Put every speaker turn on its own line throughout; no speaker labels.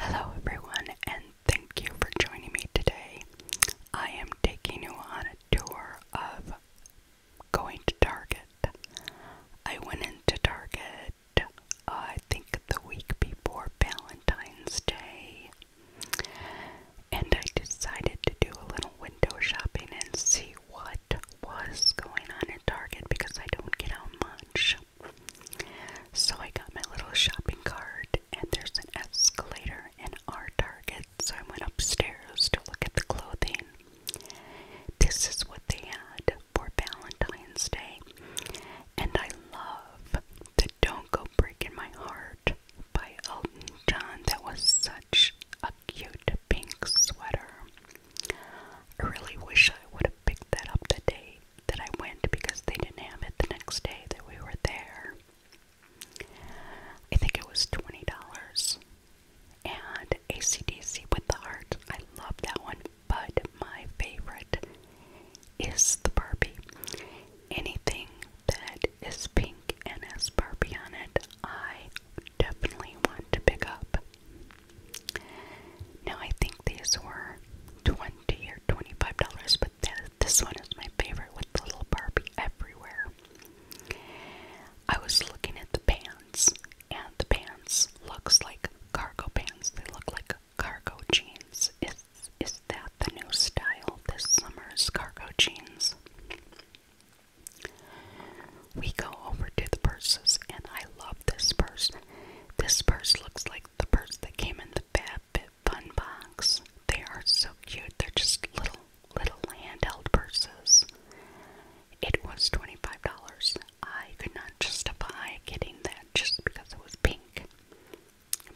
Hello, everyone, and thank you for joining me today. I am taking you on a tour of going to Target. I went into Target, uh, I think, the week before Valentine's Day, and I decided to do a little window shopping and see what was going on at Target because I don't get how much. So I got my little shopping cart, and there's an escalator in our Target, so I went upstairs to look at the clothing. This is what they had for Valentine's Day, and I love the Don't Go Breaking My Heart by Elton John. That was such a cute pink sweater. I really wish I would have picked that up today that I went because they didn't have it the next day that we were there. I think it was $20. And ACDC with the heart. I love that one. But my favorite is the Barbie. Anything that is pink and has Barbie on it, I definitely want to pick up. Now I think these were twenty or twenty-five dollars, but this one is my favorite with the little Barbie everywhere. I was looking at the pants, and the pants looks like cargo pants. They look like cargo jeans. Is is that the new style this summer's cargo jeans? We go over to the purses, and I love this purse. This purse looks like the purse that came in the Fun box. They are so cute. They're just little, little handheld purses. It was $25. I could not justify getting that just because it was pink.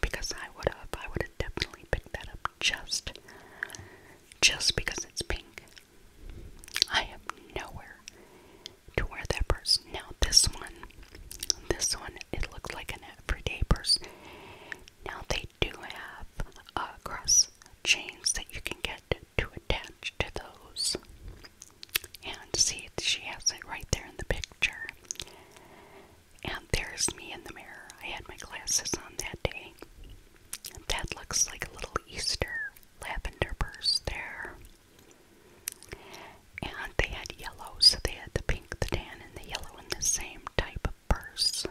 Because I would have, I would have definitely picked that up just, just because it's pink. I am nowhere to wear that purse. Now this one, this one, it looks like an everyday purse. Now they do have uh, cross chains that you can get to attach to those. And see, she has it right there in the picture. And there's me in the mirror. I had my glasses on that day. That looks like a little Easter lavender purse there. And they had yellow, so they had the pink, the tan, and the yellow in the same type of purse.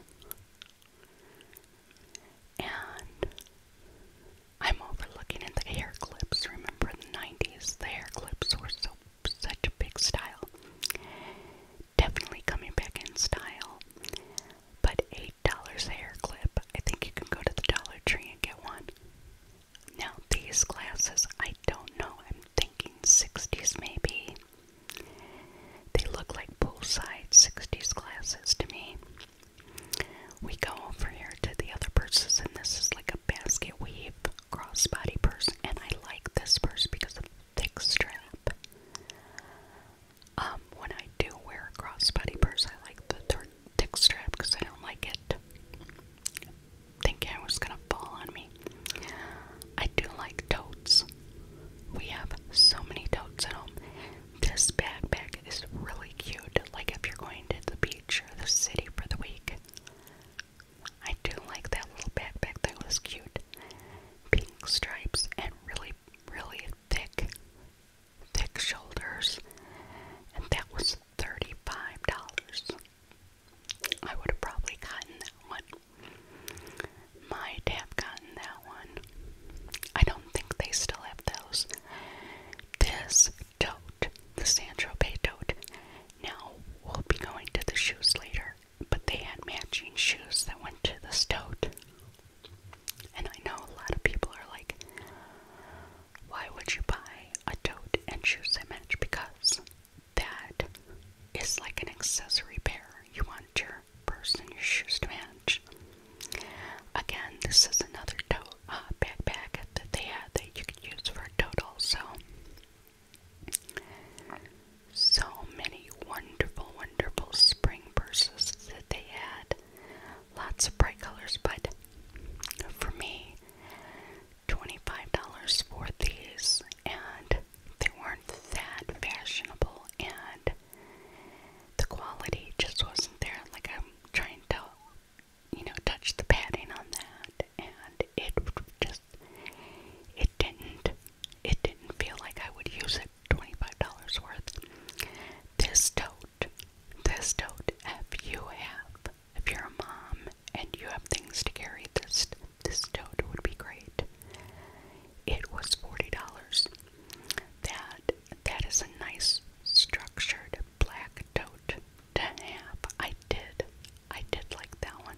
And I'm overlooking at the hair clips. Remember in the 90s, the hair clips were so such a big style. Definitely coming back in style. But $8 hair clip. I think you can go to the Dollar Tree and get one. Now, these glasses, I don't know, I'm thinking 60s maybe. They look like poolside 60s glasses to me. We go over here to the other purses, and this is like a basket weave crossbody purse, and I like this purse because of the thick strap. Um, when I do wear a crossbody purse, I like the turn dick strap because I don't like it. Thinking was gonna fall on me. I do like totes. We have so many totes at home. This backpack is really cute. Like if you're going to the beach or the city for the week. I do like that little backpack. That was cute. Pink stripes and really, really thick thick shoulders, and that was $35. I would have probably gotten that one. Might have gotten that one. I don't think they still have those. This tote, the Sancho Bay tote. Now, we'll be going to the shoes later, but they had matching shoes that went to the tote. And I know a lot of people are like, why would you buy a tote and shoes that match? Because that is like an accessory pair. You want your purse and your shoes to match. Again, this is another tote uh, backpack that they had that you could use for a tote So, So many wonderful, wonderful spring purses that they had lots of bright colors, but for me, $25 for these, and they weren't that fashionable, and the quality just wasn't there. Like, I'm trying to, you know, touch the padding on that, and it just, it didn't, it didn't feel like I would use it $25 worth. This tote this tote, if you have if you're a mom and you have things to carry this this tote would be great it was forty dollars that that is a nice structured black tote to have I did I did like that one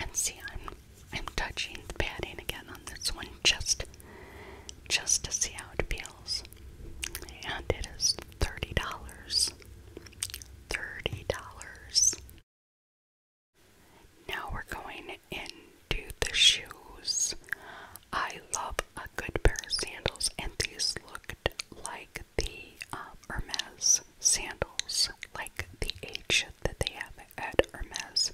and see I'm I'm touching the padding again on this one just just to see how it feels and it is $30. $30. Now we're going into the shoes. I love a good pair of sandals, and these looked like the um, Hermes sandals, like the H that they have at Hermes.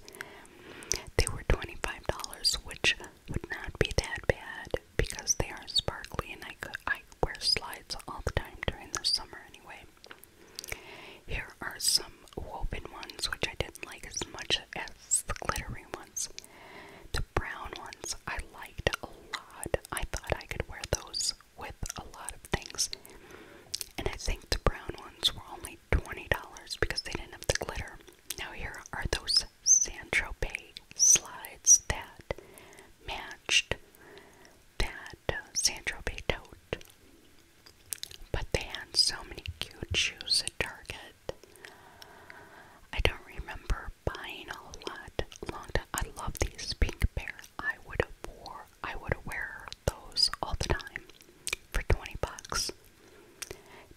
They were $25, which would not be that bad because they are sparkly and I, could, I wear slides all the time during the summer anyway. Here are some woven ones which I didn't like as much as the glittery ones. The brown ones I liked a lot. I thought I could wear those with a lot of things. And I think the brown ones were only $20 because they didn't have the glitter. Now, here are those San Tropez slides that matched that uh, San tote. But they had so many cute shoes at Target. I don't remember buying a lot. Long time. I love these pink pair. I would have wore. I would wear those all the time for 20 bucks.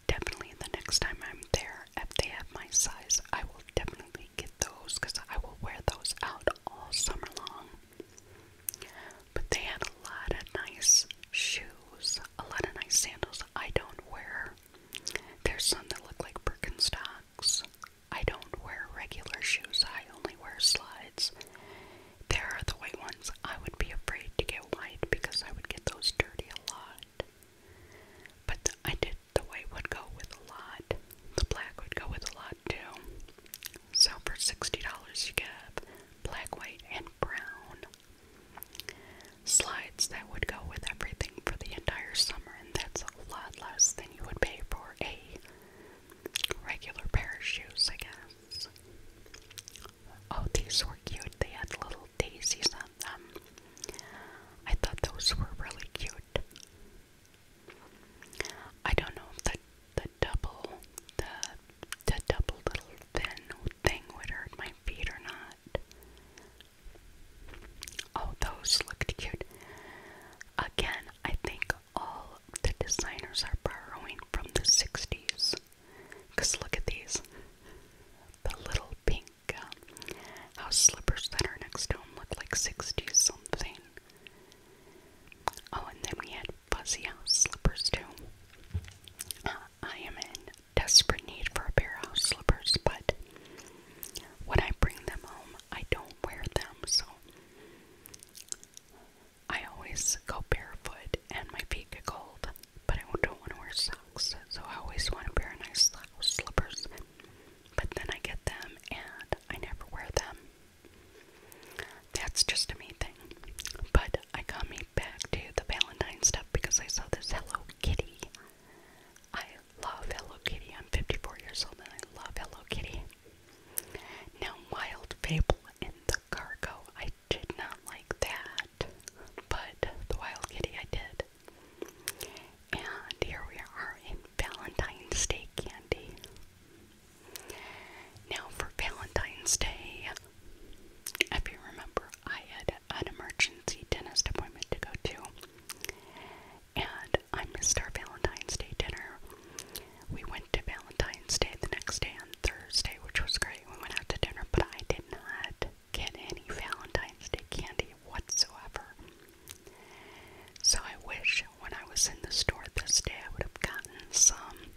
Definitely the next time I'm there, if they have my size, I will definitely get those because I will wear those out all summer long. But they had a lot of nice shoes, a lot of nice sandals I don't wear. There's some that look like Birkenstocks. I don't wear regular shoes, I only wear slides. There are the white ones I would be afraid to get white because I would get those dirty a lot. But I did, the white would go with a lot. The black would go with a lot too. So for $60 you get black, white, and brown. Slides that would go with everything for the entire summer, and that's a lot less than you would pay for a regular pair of shoes, I guess. Oh, these were cute. They had little daisies on them. I thought those were really cute. I don't know if the the double the the double little thin thing would hurt my feet or not. Oh, those looked cute. Again, I think all the designers are borrowing from the 60s. Because look at these. The little pink um, house slippers that are next to him look like 60 something. Oh, and then we had fuzzy house slippers too. Uh, I am in desperate need for a pair of house slippers, but when I bring them home, I don't wear them, so I always go barefoot and my feet get cold, but I don't want to wear socks, so I always want to wear nice slippers. But then I get them and I never wear them. That's just a me thing. But I come back to the Valentine stuff because I saw this Hello Kitty. I love Hello Kitty. I'm 54 years old and I love Hello Kitty. Now, Wild Fable in the Cargo did not like that, but the wild kitty I did. And here we are in Valentine's Day candy. Now, for Valentine's Day, if you remember, I had an emergency dentist appointment to go to. And I missed our Valentine's Day dinner. We went to Valentine's Day the next day on Thursday, which was great. We went out to dinner, but I did not get any Valentine's Day candy whatsoever. So I wish when I was in the store this day I would have gotten some.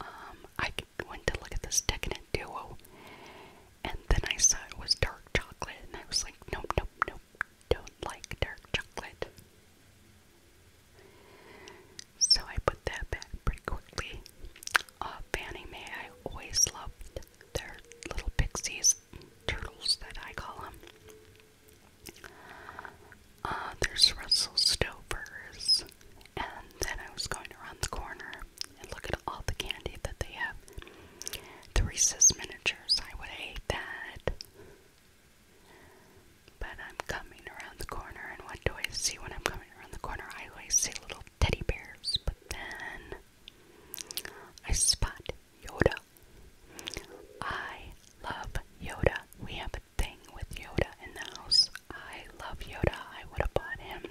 Um, I went to look at this decadent duo, and then I saw it was dark chocolate, and I was like, nope, nope, nope, don't like dark chocolate. So I put that back pretty quickly. Uh, Fannie I always loved their little pixies, turtles that I call them. Uh, there's Russell Stover's. And then I was going around the corner and look at all the candy that they have. The Reese's miniatures, I would hate that. But I'm coming around the corner, and what do I see when I'm coming around the corner, I always see little teddy bears, but then I spot Yoda. I love Yoda. We have a thing with Yoda in the house. I love Yoda. I would have bought him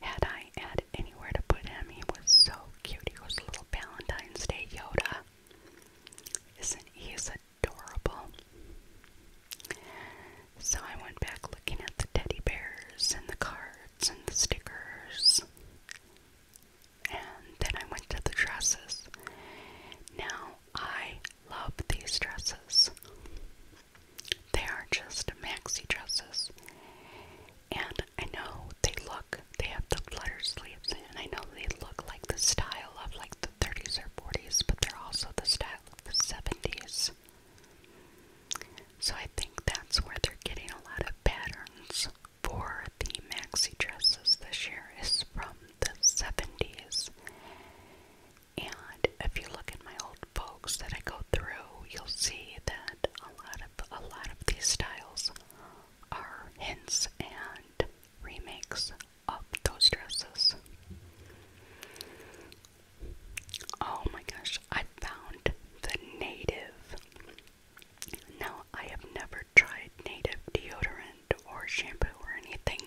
had I had anywhere to put him. He was so cute. He was a little Valentine's Day Yoda. Isn't he is a adorable. So I went back looking at the teddy bears and the cards and the stickers. And then I went to the dresses. Now I love these dresses. They are just maxi dresses. And I know they look, they have the flutter sleeves, and I know they look like the style of like the the 30s or 40s, but they're also the style of the 70s. So I think that's where they're getting a lot of patterns for the maxi dresses this year is from the 70s. And if you look at my old folks that I go through, you'll see that a lot of a lot of these styles are hints and remakes up those dresses. Oh my gosh, I found the native. Now, I have never tried native deodorant or shampoo or anything.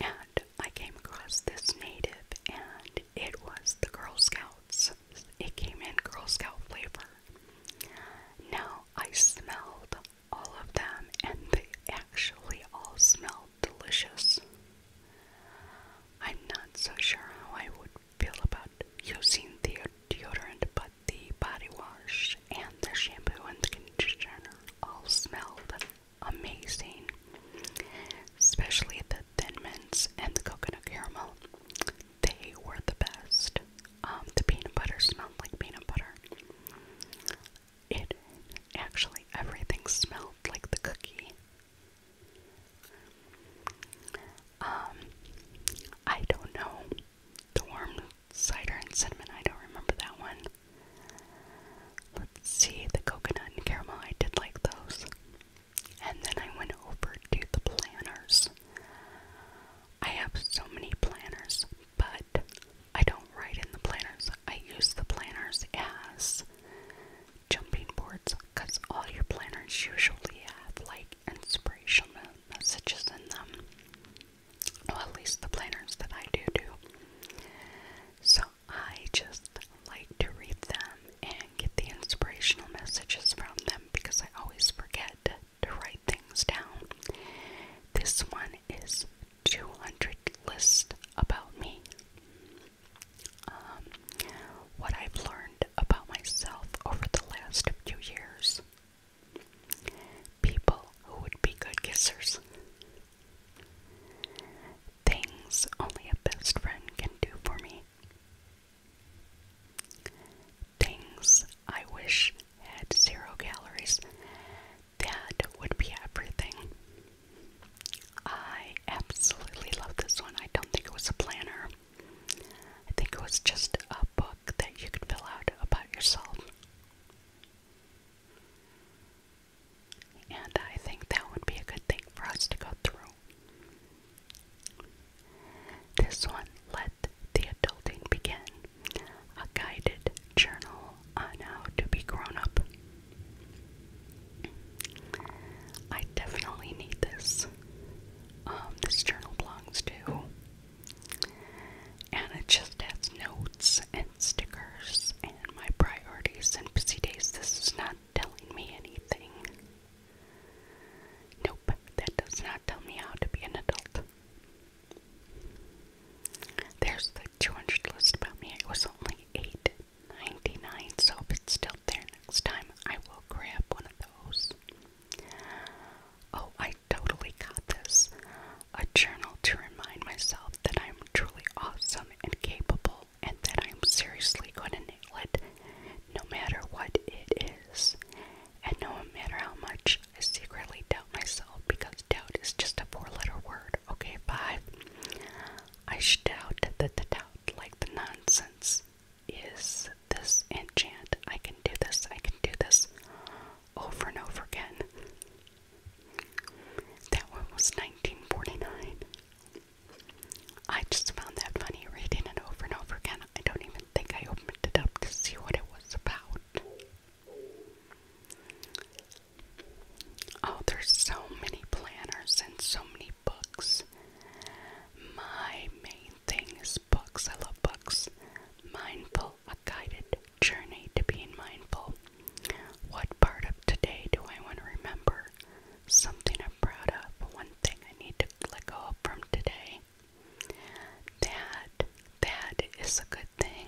And I came across this native, and it was the Girl Scouts. It came in Girl Scout flavor. Now, I smelled all of them, and they actually all smell delicious. I'm not so sure how I would feel about using the deodorant, but the body wash and the shampoo and the conditioner all smelled amazing, especially the Thin Mints and the coconut caramel. They were the best. Um, the peanut butter smelled like peanut butter. It actually, everything smelled like the cookie. Um, I don't know. warm cider and cinnamon, I don't remember that one. Let's see, the coconut caramel, I did like those. And then I went over to the planners. I have so many planners, but I don't write in the planners. I use the planners as jumping boards because all your planners usually have like inspirational messages in them. Well, at least the planners that I do do. So I just like to read them and get the inspirational messages from them because I always forget to write things down. This one is 200 list about me. Um, what I've learned about myself over the last few years. People who would be good kissers. Things only a best friend can do for me. Things I wish had zero calories that would be everything. I absolutely love this one. I don't think it was a planner. I think it was just a book that you could fill out about yourself. And I think that would be a good thing for us to go through. This one, Let the Adulting Begin a guided journal on how to be grown up. I definitely need this. Um, this journal belongs to, and it just has notes and stickers and my priorities and busy days. This is not telling me anything. Nope, that does not tell me how to be an adult. There's the 200 list about me. It was only 8 99 so if it's still there next time, I will grab one of those. Oh, I totally got this. A journal to remind myself that I'm truly awesome and capable and that I'm seriously going to nail it no matter what it is and no matter how much I secretly doubt myself, because doubt is just a four letter word, okay? Five, I should doubt that the doubt, like the nonsense, is this enchant. I can do this, I can do this over and over again. That one was 1949. I just found that funny reading it over and over again. I don't even think I opened it up to see what it was about. Oh, there's so many planners and so many books. My main thing is books. I love books. Mindful, a guided journey to being mindful. What part of today do I want to remember? Something I'm proud of, one thing I need to let go of from today. That that is a good thing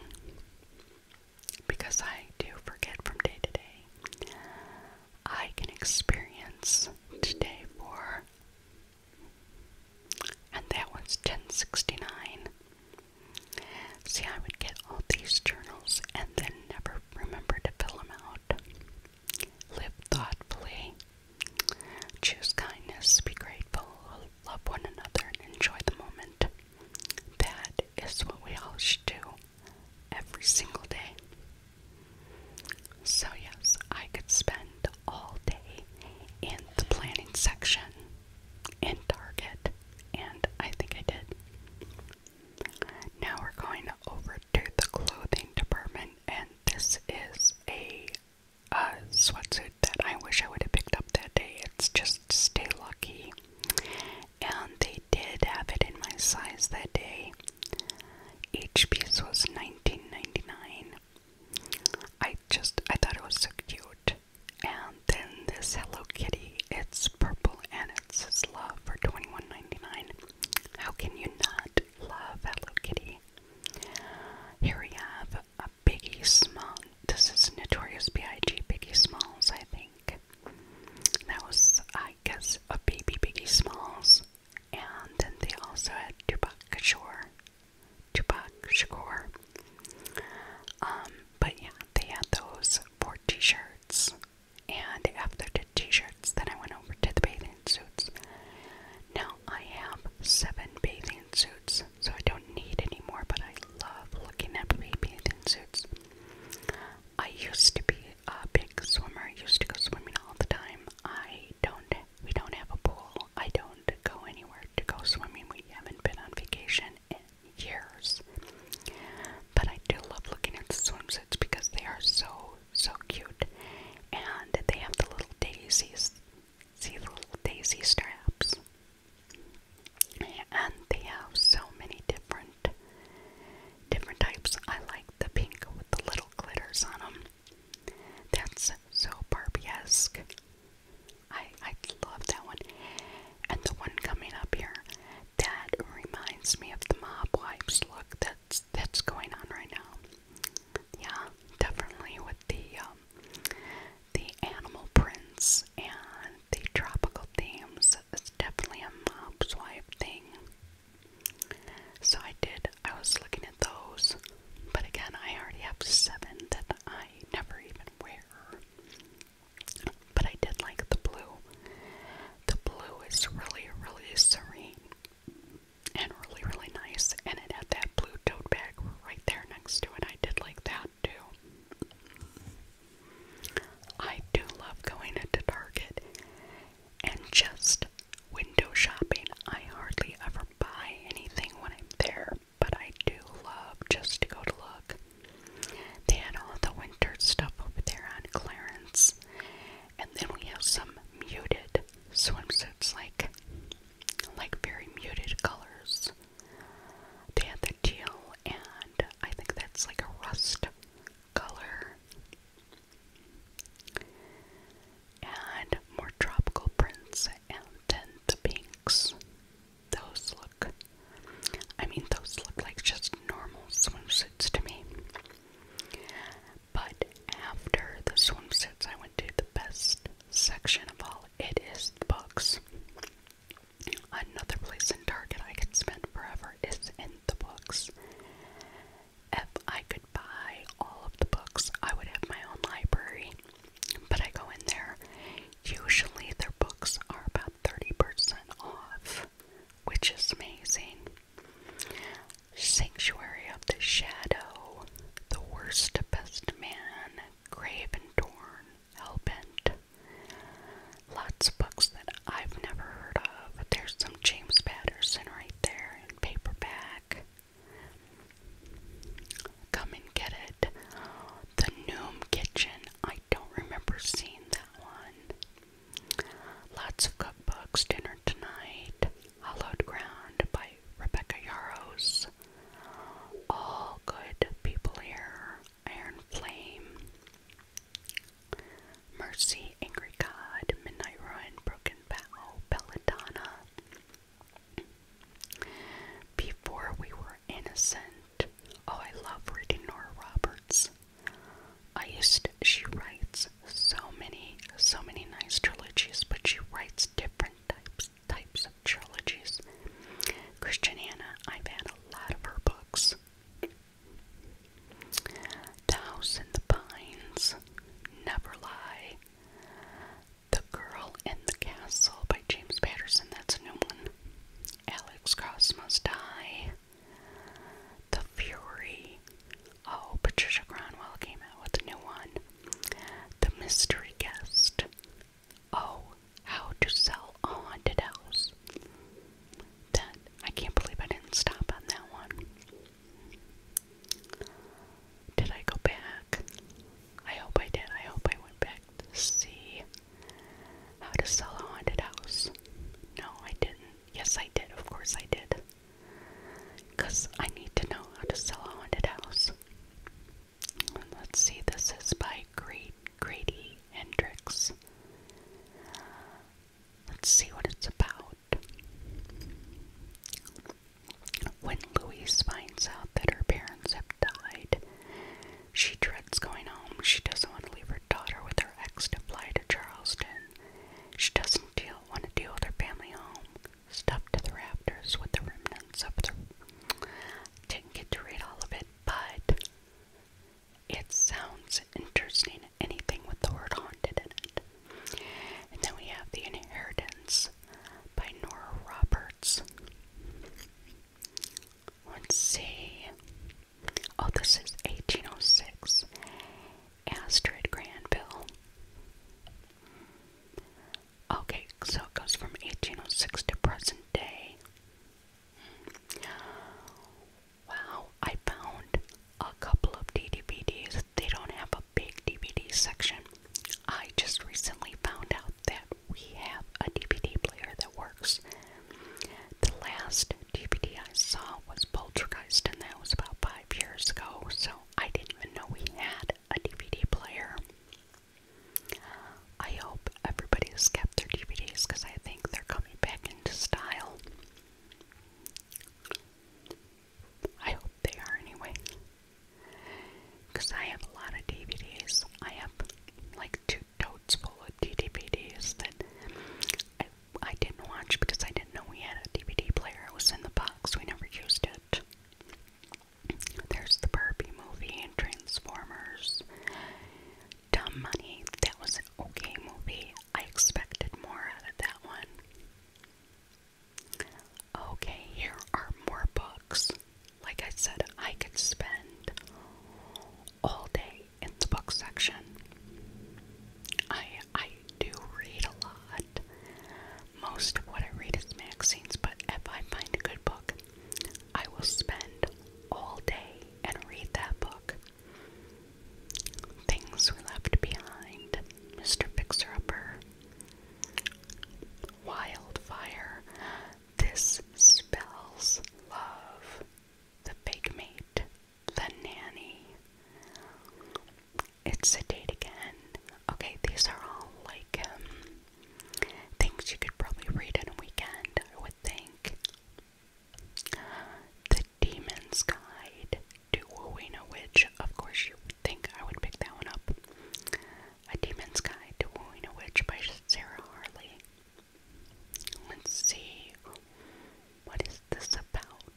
because I do forget from day to day. I can experience today for and that was 1069. See, I would get all these journals and then never remember to fill them out. Live thoughtfully. Choose kindness. Be grateful love one another, and enjoy the moment. That is what we all should do every single day. So, yes, I could spend all day in the planning section in Target, and I think I did. Now we're going over to the clothing department, and this is a uh, sweatsuit that I wish I would have picked up that day. It's just stay lucky. And they did have it in my size that day. Each piece was nineteen ninety nine. I just, I thought it was so cute. And then this Hello Kitty, it's purple and it's love for twenty one ninety nine. How can you not love Hello Kitty? Here we have a Biggie Small. This is Notorious B.I.G. Biggie Smalls, I think. That was, I guess, a baby Biggie Smalls. And then they also had Tupac Shakur. Tupac Shakur. Um, but yeah, they had those four t-shirts. And after the t-shirts, then I went over to the bathing suits. Now I have seven bathing suits so I don't need any but I love looking at bathing suits. I used to be a big swimmer. I used to go swimming all the time. I don't, we don't have a pool. I don't go anywhere to go swimming. We haven't been on vacation in years. But I do love looking at the swimsuits because they are so, so cute. And they have the little daisies See the little daisy straps. And they have so many different different types. I like the pink with the little glitters on them. That's so Barbie-esque. I I love that one. And the one coming up here that reminds me of the mob wives look that's that's going on right now yeah, definitely with the um, the animal prints and the tropical themes. It's definitely a mob swipe thing. So I did. I was looking at those, but again, I already have seven that I never even wear. But I did like the blue. The blue is really, really serene and really, really nice. And it had that blue tote bag right there next to it. I did like that too. I do love going into Target and just window shopping. I hardly ever buy anything when I'm there, but I do love just to go to look. They had all the winter stuff over there on clearance. And then we have some muted swimsuits like like very muted colors. They had the teal, and I think that's like a rust color. And more tropical prints, and then the pinks. Those look, I mean, those look like just normal swimsuits to me. But after the swimsuits, I went to the best section of all. It is books. Another place in Target I could spend forever is in the books. If I could buy all of the books, I would have my own library. But I go in there. Usually their books are about 30% off, which is amazing. Sanctuary of the Shadow, The Worst Best Man, Grave and Torn, Hellbent. Lots of books that I've never heard of. There's some James Patterson right there in paperback. Come and get it. The Noom Kitchen. I don't remember seeing that one. Lots of cookbooks, Dinner Tonight, Hallowed Ground by Rebecca Yaros. All Good People Here, Iron Flame. Mercy, Angry God, Midnight Ruin, Broken Bow, Belladonna. Before We Were Innocent. Oh, I love reading Nora Roberts. I used, she writes so many, so many nice trilogies, but she writes different types types of trilogies. Christiana, I've had a lot of her books. The House in the Pines, Never Lie, The Girl in the Castle by James Patterson, that's a new one. Alex Cross Must Die, The Fury, Oh, Patricia Cronwell came out with a new one. The Mystery Guest. Oh, How to Sell a Haunted House. That, I can't believe I didn't stop on that one. Did I go back? I hope I did. I hope I went back to see How to Sell a Haunted House. No, I didn't. Yes, I did. Of course I did. Because I need to know how to sell a haunted house. let's see, this is by Great Grady Hendrix. Let's see what it's about. When Louise finds out that her parents have died, she dreads going home. She doesn't want to leave her daughter with her ex to fly to Charleston. She doesn't deal, want to deal with her family home stuffed to the rafters with the remnants of the. Didn't get to read all of it, but it sounds interesting. Anything with the word haunted in it. And then we have The Inheritance by Nora Roberts. Let's see. Oh, this is 1806. Astrid Grandville. Okay, so it goes from 1806 to present day. Wow, I found a couple of DVDs. They don't have a big DVD section. I just recently found out that we have a DVD player that works. The last DVD I saw was Poltergeist, and that was about five years ago, so I didn't even know we had a DVD player. I hope everybody's kept their DVDs because I think they're coming back into style. I hope they are anyway. Because I have a lot of DVDs. I have like two totes full of DVDs that I didn't watch because I didn't know we had a DVD player. It was in the box. We never used it. There's the Barbie movie and Transformers. Dumb Money. That was an okay movie. I expected more out of that one. Okay, here are more books. Like I said, I could spend all day in the book section. I I do read a lot. Most of what I read is magazines, but if I find a good book, I will spend all day and read that book. Things We Left Behind, Mr. Fixer Upper, Wildfire, This Spells Love, The Fake Mate, the Nanny. It's a date again. Okay, these are all like um, things you could probably read in a weekend, I would think. The Demon's Guide to Wooing a Witch. Of course, you would think I would pick that one up. A Demon's Guide to Wooing a Witch by Sarah Harley. Let's see. What is this about?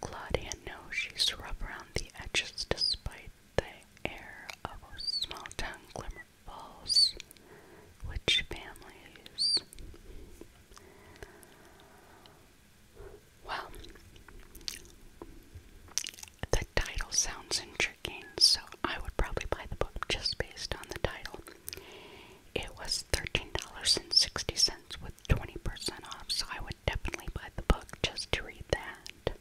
Claudia knows she's rough around the edges despite the air of small town glimmer falls, which families. Well, the title sounds intriguing, so I would probably buy the book just based on the title. It was $13.60 with 20% off, so I would definitely buy the book just to read that.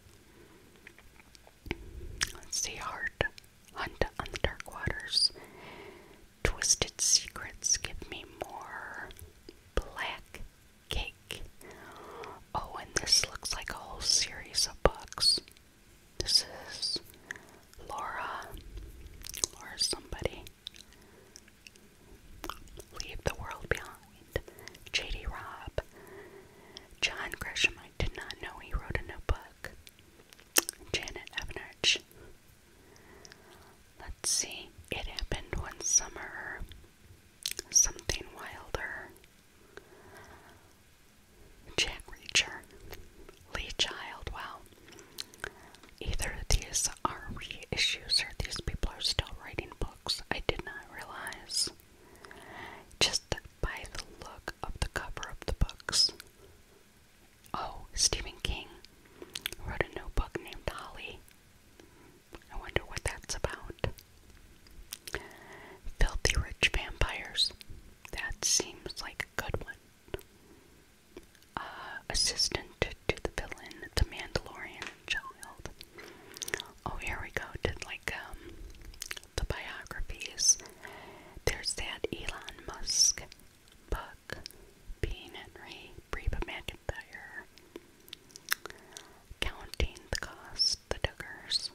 Let's see, Heart, Hunt on the Dark Waters, Twisted Secrets, Give Me More, Black Cake. Oh, and this looks like a whole series of books. This is Laura, or somebody. Leave the World Behind, J.D. Robb, John Grisham, I did not know he wrote a new Janet Evanich. Let's see, It Happened One Summer, Something Wilder, Jack Reacher, Lee Child. Wow. Either of these are reissues or these people are still writing books. I did not realize. Just by the look of the cover of the books. Oh, Stephen King wrote a new book named Holly. I wonder what that's about. Filthy Rich Vampires. That seems like a good one. Uh, assistant to the villain, the Mandalorian child. Oh, here we go. Did like um, the biographies. There's that Elon Musk book, Bean Henry, Reba McIntyre, Counting the Cost, The Duggars.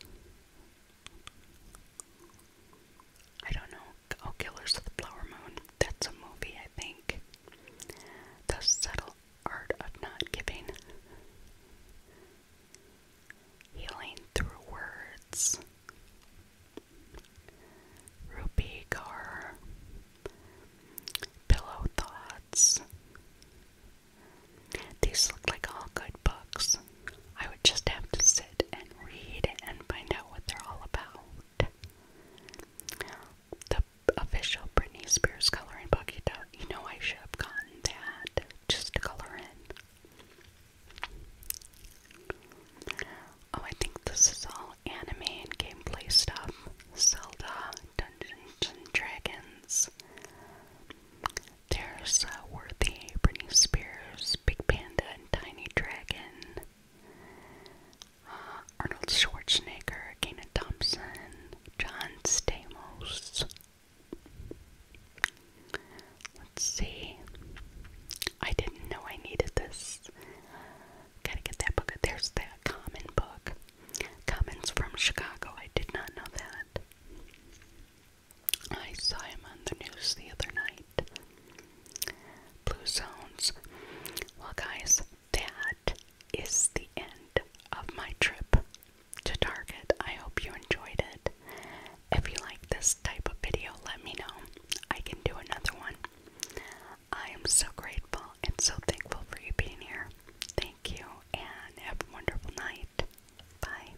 I don't know Oh, Killers of the Flower Moon. That's a movie, I think. The Subtle Art of Not Giving. Healing Through Words. Ruby Gar. Pillow Thoughts. These look like all good books. I would just have to sit and read and find out what they're all about. The official Britney Spears coloring book, you don't. You know, I should have gotten that just to color in. Oh, I think this is all anime and gameplay stuff. Zelda, Dungeons and Dragons. There's uh, Worthy, Britney Spears, Big Panda, and Tiny Dragon. Arnold Schwarzenegger, Gaina Thompson, John Stamos. Let's see. I didn't know I needed this. Gotta get that book. There's that common book. Comments from Chicago. I did not know that. I saw him on the news the other night. Blue zones. Well, guys, that is the end of my trip to Target. I hope you enjoyed it. If you like this type of video, let me know. I can do another one. I am so grateful and so thankful for you being here. Thank you and have a wonderful night. Bye.